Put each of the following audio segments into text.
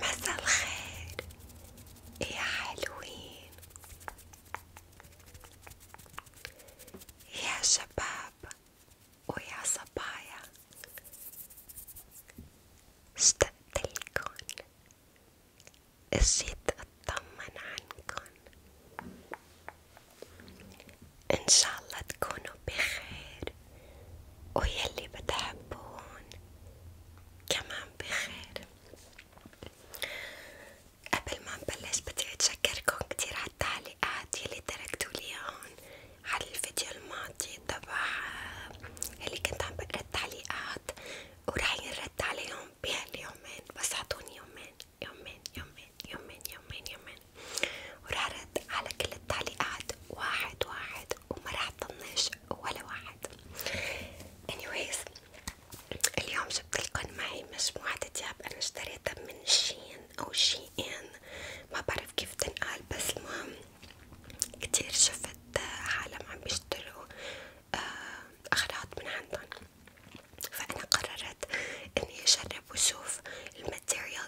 مساء الخير إيه يا حلوين يا شباب ويا صبايا اشتقتلكن اجيت اطمن عنكن ان شاء الله تكونوا بخير ويلي بتحبون كمان بخير قبل ما نبلش بدي اتشكركم كتير على التعليقات يلي تركتولي هون على الفيديو الماضي تبع اللي كنت عم بقرا التعليقات ورح ينرد عليهم بهاليومين بس عطوني يومين يومين يومين يومين يومين يومين وراح على كل التعليقات واحد واحد وما راح طنش ولا واحد anyways اليوم جبت معي مجموعة تياب انا اشتريتها من شين او شي ان ما بعرف كيف تنقال بس المهم كتير شفت عالم عم بيشتروا آه، اغراض من عندهم فانا قررت اني اجرب واشوف نشوف الماتيريال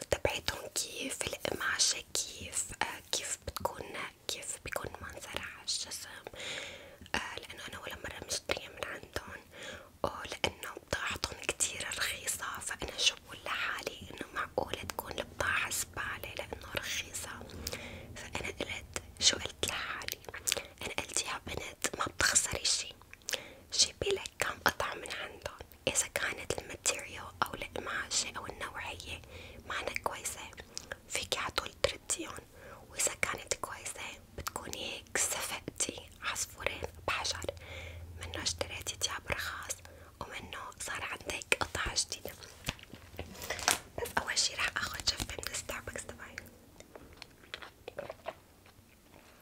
كيف القماشة كيف آه كيف بتكون كيف بيكون منظرها على الجسم آه أنا ولا مرة مشترية من عندهم ولأنه بضاعتهم كتير رخيصة فأنا شو بقول لحالي إنه معقولة تكون البضاعة زبالة لأنه رخيصة فأنا قلت شو قلت لحالي أنا قلت يا بنت ما بتخسري شي جيبي كم قطعة من عندهم إذا كانت الماتيريال أو القماشة أو النوعية معنا كويسة فيكي عطول ترديهم وإذا كانت كويسة بتكوني هيك صفقتي عصفورين بحجر منه اشتريتي تياب رخاص ومنه صار عندك قطعة جديدة بس أول شي رح أخد جفة من ستاربكس تبعي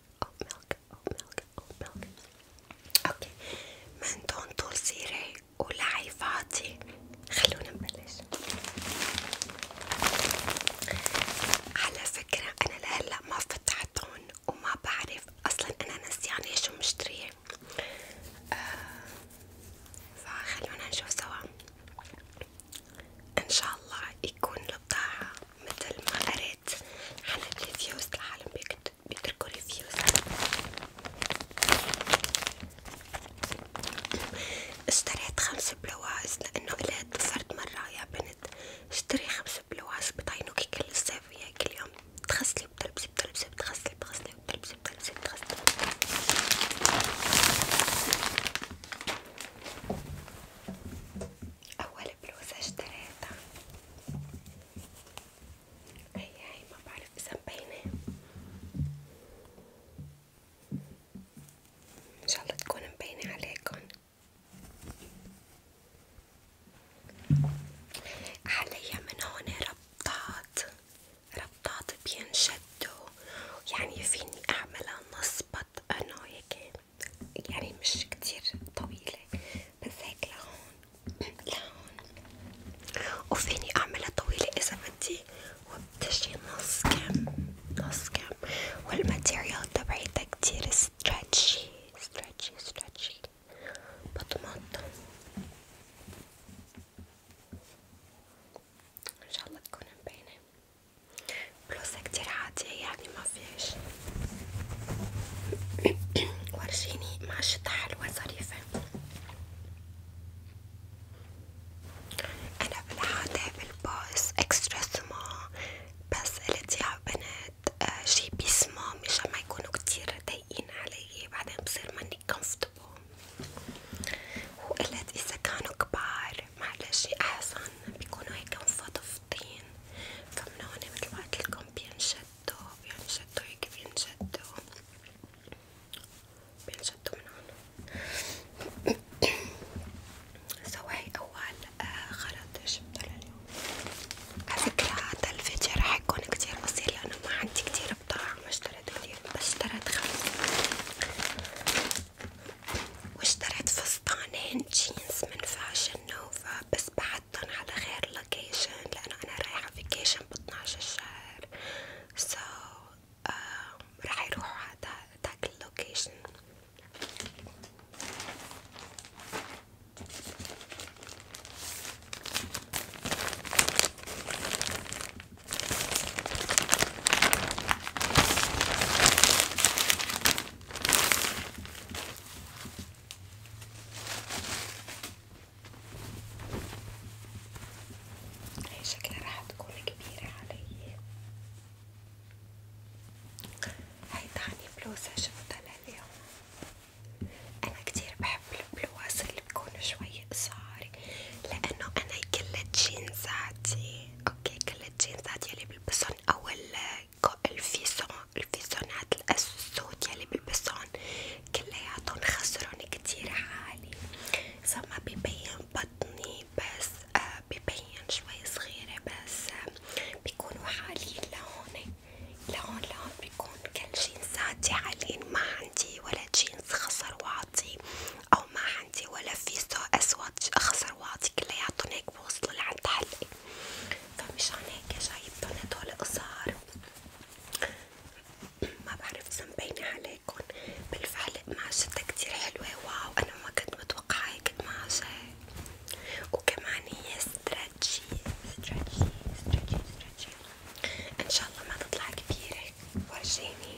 milk, oat milk, oat milk. اوكي من طول سيري ولعي فاضي خلونا نبلش على فكرة انا لهلا ما فتحتهم وما بعرف اصلا انا نسيانة شو مشتريه آه فخلونا نشوف سوا ان شاء الله يكون البضاعة مثل ما قريت عن الريفيوز العالم بيتركوا ريفيوز اشتريت خمس بلواز لانه قلت صرت مرة يا بنت اشتري خمس بلواز بطينوكي كل الصيف وياي كل يوم بتغسلي بتلبسي بتلبسي بتغسلي بتغسلي بتلبسي بتلبسي بتغسلي أول بلوزة اشتريتها هي هي ما بعرف إذا مبينة إن شاء الله تكون مبينة عليكن حاليا من هون ربطات ربطات بينشدوا يعني فيني أعملها نصبط أنا هيك يعني مش كتير طويلة بس هيك لهون لهون وفيني اعملها طويلة اذا بدي وبتجي نص كم نص كم والماتيريال تبعيتها كتير ستريتشي ستريتشي ستريتشي بطمطها ان شاء الله تكون مبينة بلوزة كتير عادية يعني ما فيش ورجيني ماشطة حلوة ظريفة أنا بالعادة بالباص إكسترا سما بس قلت يا بنات جيبي سما مشان ما يكونوا كتير ضايقين علي بعدين بصير ماني كومفورتبل وقلت إذا كانوا كبار معلش احسن بيكونوا هيك مفضفضين فمن هون متل ما قلتلكم بينشدوا بينشدوا هيك بينشدوا بينشدوا من هون سوي هي اول آه، خلط جبته لليوم على فكرة هذا الفيديو راح يكون كتير قصير لأنه ما عندي كتير بضاعة ما اشتريت كتير بس اشتريت خمسة واشتريت فستانين جينز من فاشن نوفا بس بعتن على غير لوكيشن لأنه أنا رايحة فيكيشن ب 12 الشهر سو so, um, راح يروحوا على داك اللوكيشن هي شكلها راح تكون كبيرة علي هاي تاني بلوزة شفتها اليوم أنا كتير بحب البلوز اللي بيكونوا شوي قصار لأنه أنا كل جينزاتي اوكي كل الجينزات يلي بلبسن او آه، الفيسون الفيسونات السود يلي بلبسن كلياتن خسرن كتير عالي اذا ما ببين بطني بس آه ببين شوي صغيرة بس آه بيكونوا عاليين لهون لهون لهون بيكون كل جينزاتي عاليين ما عندي ولا جينز خسر واعطي او ما عندي ولا فيزا اسود اخسر واعطي كلياتهم هيك بوصلوا لعند حلقي فمشان هيك جايبتن هدول قصار ما بعرف اذا مبينه عليكم بالفعل قماشتها كتير حلوة واو انا ما كنت متوقعة هيك قماشة وكمان هي استراتشي استراتشي استراتشي استراتشي ان شاء الله ما تطلع كبيرة ورجيني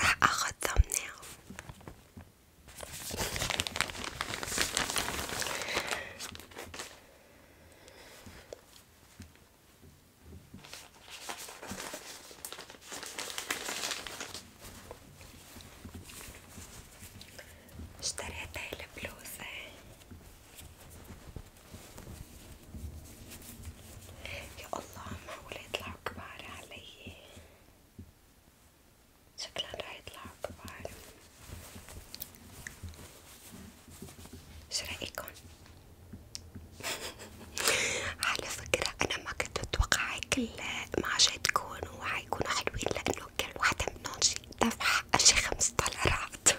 راح اخذ ثمنها اشتريت هاي البلوزة يا الله معقولة يطلعوا كبار علي شكلها راح يطلعوا كبار شو رأيكن؟ على فكرة أنا ما كنت أتوقع هيك المعجات تكون وحيكونوا حلوين لأنه كل واحدة منهم دفع شي خمس دولارات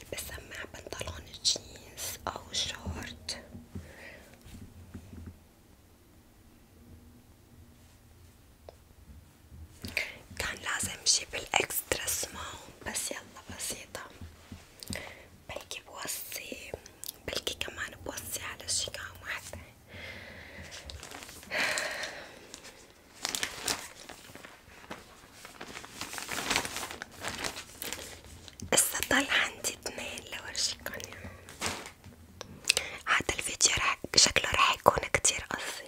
بلبسها مع بنطلون جينز أو شورت كان لازم جيب الإكسترا سمول بس يلا بسيطة بلكي بوصي بلكي كمان بوصي على شي كمان واحدة هسا طلع عندي اثنين لورجيكن هذا الفيديو راح شكله راح يكون كتير قصير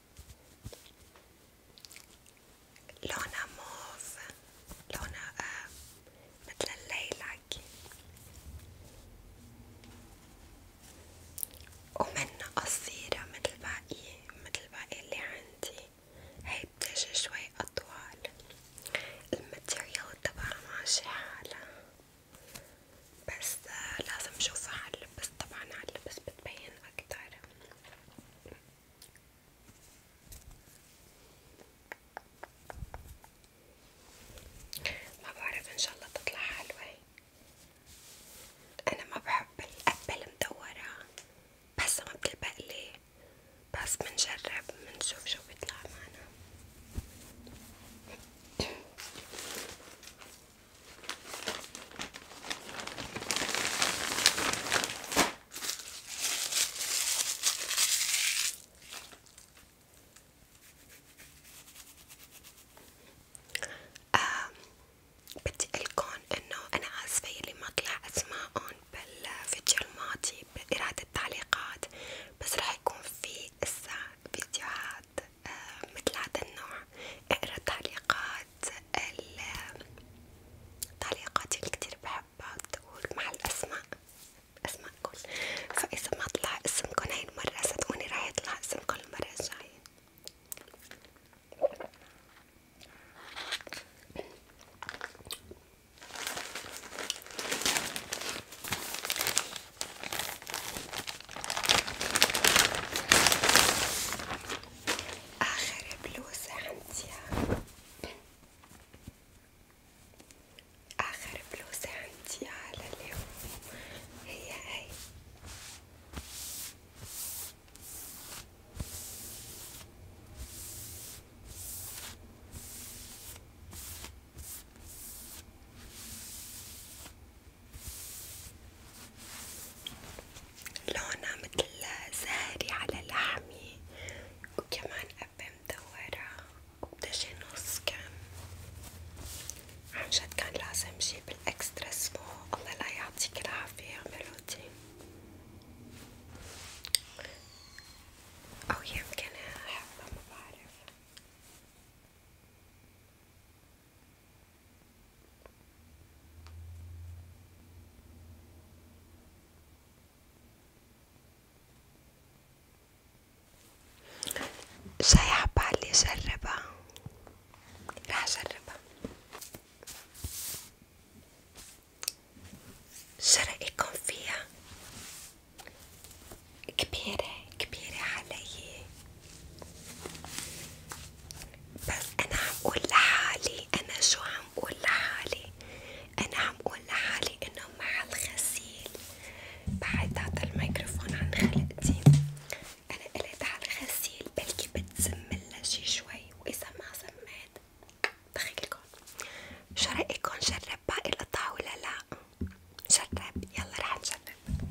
لونها موف لونها آه مثل الليلك ومنها قصيرة مثل باقي مثل باقي اللي عندي هي بتجي شوي أطول الماتيريال تبعها ماشي حالها بس آه، لازم شوفها على اللبس طبعا على اللبس بتبين أكتر ما بعرف ان شاء الله تطلع حلوة انا ما بحب القبة المدورة بحسها ما بتلبقلي بس بنجرب بنشوف شو بيطلع معنا آه بدي ألكن إنه أنا آسفة يلي ما طلع أسماءهم بالفيديو الماضي بإرادة التعليقات بس رح يكون في إسا فيديوهات آه مثل هذا النوع، اقرا تعليقات التعليقات اللي كتير بحبها تقول مع الأسماء أسماءكم فإذا ما طلع اسمكن هاي المرة صدقوني راح يطلع اسمكن المرة الجاية آخر بلوزة عندي آخر بلوزة عندي على اليوم هي هاي لونها متل زهري على لحمي وكمان قبة مدورة وبتجي نص كم عنجد كان لازم جيب الاكسترا سمو الله لا يعطيك العافية ميلودي أو يمكن أحبها ما بعرف شاي عبالي أجربها راح أجربها شو رأيكم فيها؟ كبيرة كبيرة علي بس أنا عم قول لحالي أنا شو عم قول لحالي أنا عم قول لحالي إنه مع الغسيل بعد هذا الميكروفون عن خلقتي أنا قلت على الغسيل بلكي بتسملها شي شوي وإذا ما سميت دخيلكم شو رأيكم جرب باقي القطع ولا لأ؟ جرب يلا رح نجرب جدا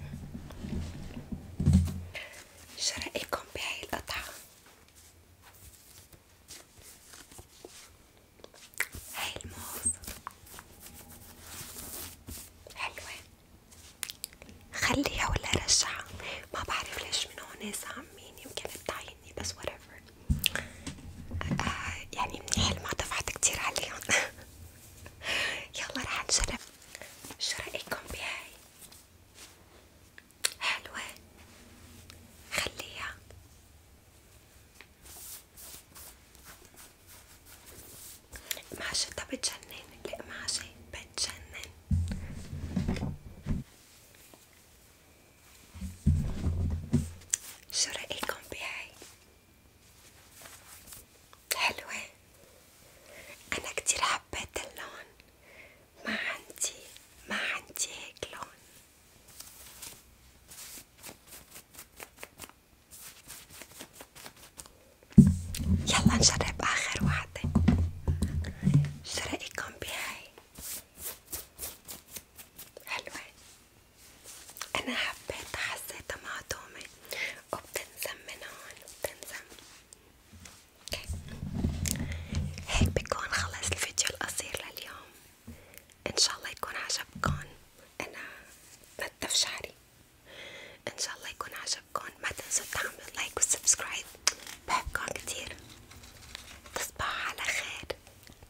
شو رأيكم بهاي القطعة؟ هاي الموز حلوة خليها ولا رجعها ما بعرف ليش من هون سامين يمكن بتعيني بس whatever آه يعني منيح ما دفعت كتير عليهم يلا رح نجرب شو رأيكم بهاي؟ حلوة خليها معشتها بتجنن القماشة بتجنن شو رأيكم بهاي؟ حلوة أنا كتير حبيت اللون ما عندي ما عندي هيك لون يلا نجرب آخر وحدة شو رأيكم بهاي؟ حلوة أنا حبيتها حسيتها معدومة وبتنزم من هون وبتنزم هيك بكون خلص الفيديو القصير لليوم ان شاء الله يكون عجبكن انا بتف شعري ان شاء الله يكون عجبكن ما تنسوا تعملوا لايك وسبسكرايب بحبكن كتير تصبحوا على خير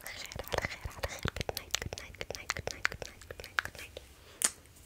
على خير على خير على خير good night good night good night good night good night good night, good night.